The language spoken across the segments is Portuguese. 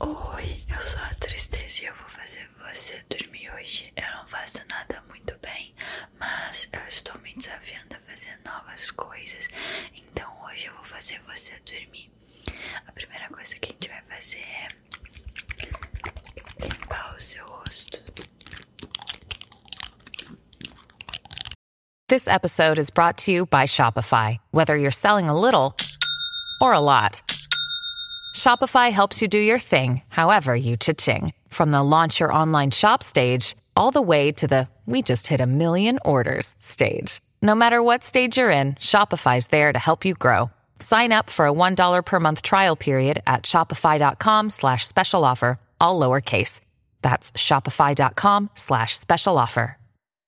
Oi, eu sou a Tristeza e eu vou fazer você dormir hoje. Eu não faço nada muito bem, mas eu estou me desafiando a fazer novas coisas, então hoje eu vou fazer você dormir. A primeira coisa que a gente vai fazer é limpar o seu rosto. This episode is brought to you by Shopify. whether you're selling a little or a lot. Shopify helps you do your thing, however you cha-ching. From the launch your online shop stage all the way to the we just hit a million orders stage. No matter what stage you're in, Shopify's there to help you grow. Sign up for a $1 per month trial period at shopify.com slash special offer, all lowercase. That's shopify.com slash special offer.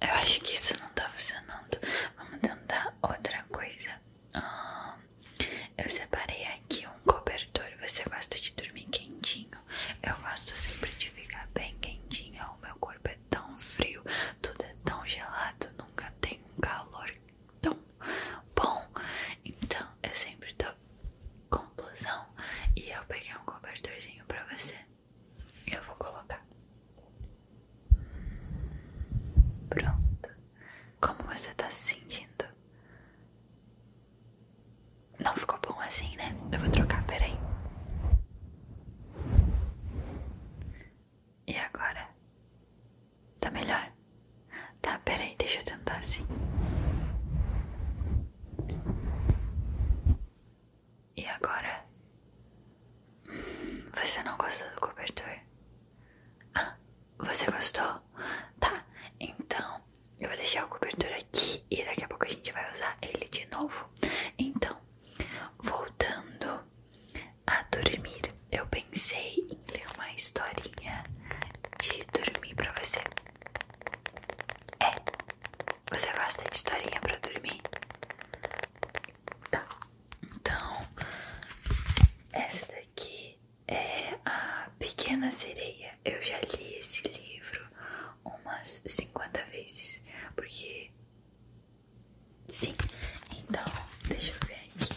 Eu acho que isso não tá funcionando. Vamos tentar outra coisa. Ah, eu separei aqui um cobertor. Você gosta de dormir quentinho? Eu gosto sempre de ficar bem quentinha. O meu corpo é tão frio, tudo é tão gelado, nunca tem um calor tão bom. Então eu sempre tô conclusão. E eu peguei um cobertorzinho pra você. Eu vou colocar. Pronto. Como você tá se sentindo? Não ficou bom assim, né? Eu vou trocar, peraí. E agora? Tá melhor? Tá, peraí, deixa eu tentar assim. E agora? Você não gostou do cobertor? Ah, você gostou? Tá, então eu vou deixar o cobertor aqui e daqui a pouco a gente vai usar ele de novo. Então, voltando a dormir, eu pensei em ler uma historinha de dormir para você. É. Você gosta de historinha pra dormir? Tá. Então, essa daqui é a Pequena Sereia. Eu já li esse livro umas 50 vezes, porque. Sim, então deixa eu ver aqui.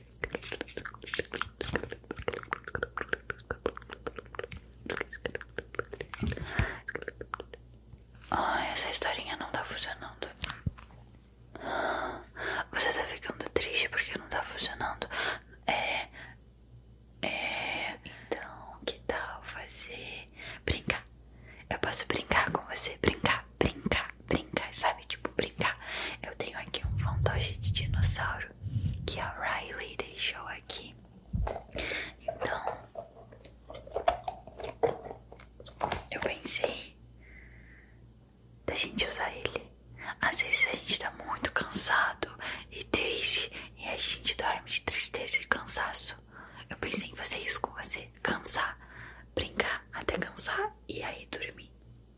Ai, essa historinha não tá funcionando. Você tá ficando triste porque não tá funcionando? É. é então, que tal fazer. Brincar? Eu posso brincar com você? Brincar, brincar brincar, sabe? Tipo, brincar. Eu tenho aqui um fantoche de dinossauro que a Riley deixou aqui. Então, eu pensei da gente usar ele. Às vezes a gente tá muito cansado e triste e a gente dorme de tristeza e cansaço. Eu pensei em fazer isso com você, cansar, brincar até cansar e aí dormir.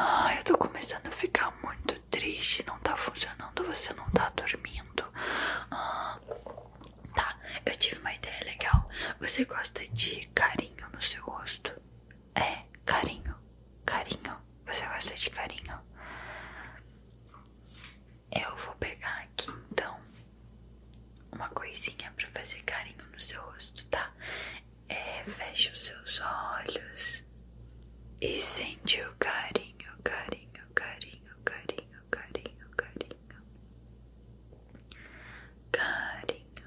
Ah, eu tô começando a ficar muito triste. Não tá funcionando, você não tá dormindo. Ah, tá, eu tive uma ideia legal. Você gosta de carinho no seu rosto? É, carinho. Carinho. Você gosta de carinho? Eu vou pegar aqui então uma coisinha pra fazer carinho no seu rosto, tá? É, fecha os seus olhos e sente o carinho, carinho, carinho, carinho, carinho, carinho. Carinho,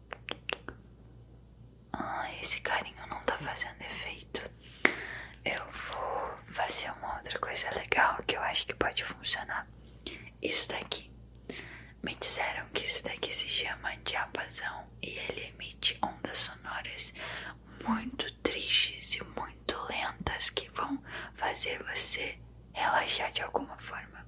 Ah, esse carinho não está fazendo efeito. Eu vou fazer uma outra coisa legal que eu acho que pode funcionar. Isso daqui. Me disseram que isso daqui se chama diapasão e ele emite ondas sonoras muito tristes e muito lentas que vão fazer você relaxar de alguma forma.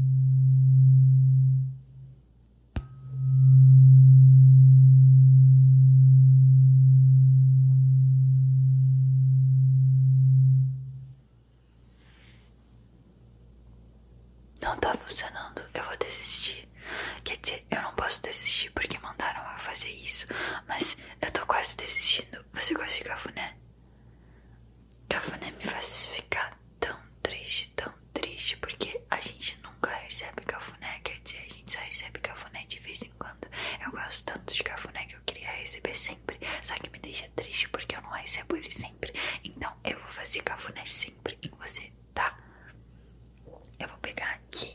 Não tá funcionando, eu vou desistir. Quer dizer, eu não posso desistir porque mandaram eu fazer isso, mas eu tô quase desistindo. Você conseguiu, de cafuné? Cafuné me faz ficar tão triste, tão triste, porque a gente nunca recebe cafuné, quer dizer, a gente só recebe cafuné de vez em quando. Eu gosto tanto de cafuné que eu queria receber sempre, só que me deixa triste porque eu não recebo ele sempre. Então eu vou fazer cafuné sempre em você, tá? Eu vou pegar aqui.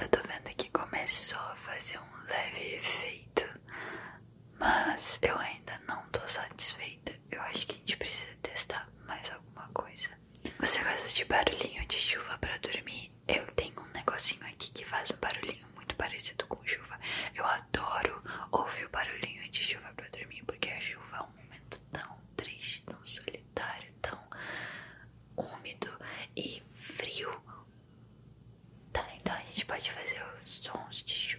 Eu tô vendo que começou a fazer um leve efeito, mas eu ainda não tô satisfeita. Eu acho que a gente precisa testar mais alguma coisa. Você gosta de barulhinho de chuva para dormir? Eu tenho um negocinho aqui que faz um barulhinho muito parecido com chuva. Eu adoro ouvir o barulhinho de chuva para dormir, porque a chuva é um momento tão triste, tão solitário, tão úmido e frio. Tá, então a gente pode fazer os sons de chuva.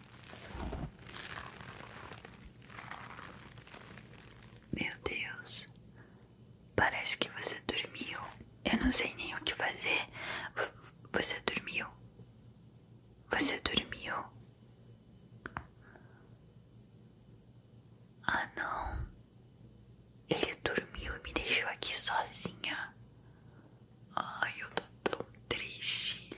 Meu Deus, parece que você dormiu. Eu não sei nem o que fazer. Você dormiu? Você dormiu? Ah, não. Ele dormiu e me deixou aqui sozinha. Ai, eu tô tão triste.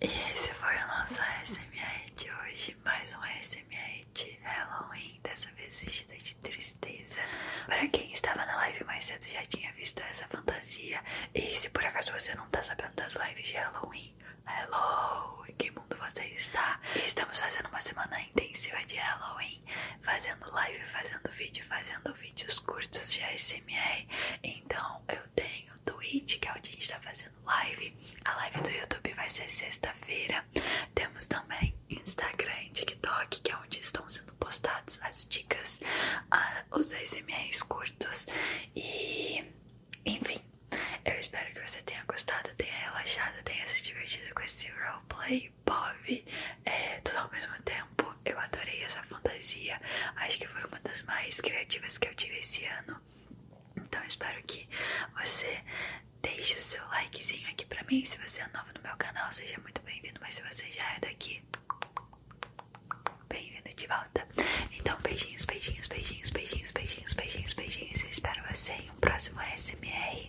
E esse foi o nosso ASMR de hoje. Mais um ASMR de Halloween, dessa vez vestida de tristeza. Para quem estava na live mais cedo já tinha visto essa fantasia. E se por acaso você não tá sabendo das lives de Halloween, hello! Em que mundo você está? Estamos fazendo uma semana intensiva de Halloween, fazendo live, fazendo vídeo, fazendo vídeos curtos de ASMR. Então eu eu tenho Twitch, que é onde a gente tá fazendo live. A live do YouTube vai ser sexta-feira. Temos também Instagram e TikTok, que é onde estão sendo postados as dicas, ah, os SMS curtos. E enfim, eu espero que você tenha gostado, tenha relaxado, tenha se divertido com esse roleplay pop. É, tudo ao mesmo tempo. Eu adorei essa fantasia. Acho que foi uma das mais criativas que eu tive esse ano. Então espero que você deixe o seu likezinho aqui pra mim. Se você é novo no meu canal, seja muito bem-vindo. Mas se você já é daqui, bem-vindo de volta. Então, beijinhos, beijinhos, beijinhos, beijinhos, beijinhos, beijinhos, beijinhos. Eu espero você em um próximo SMR.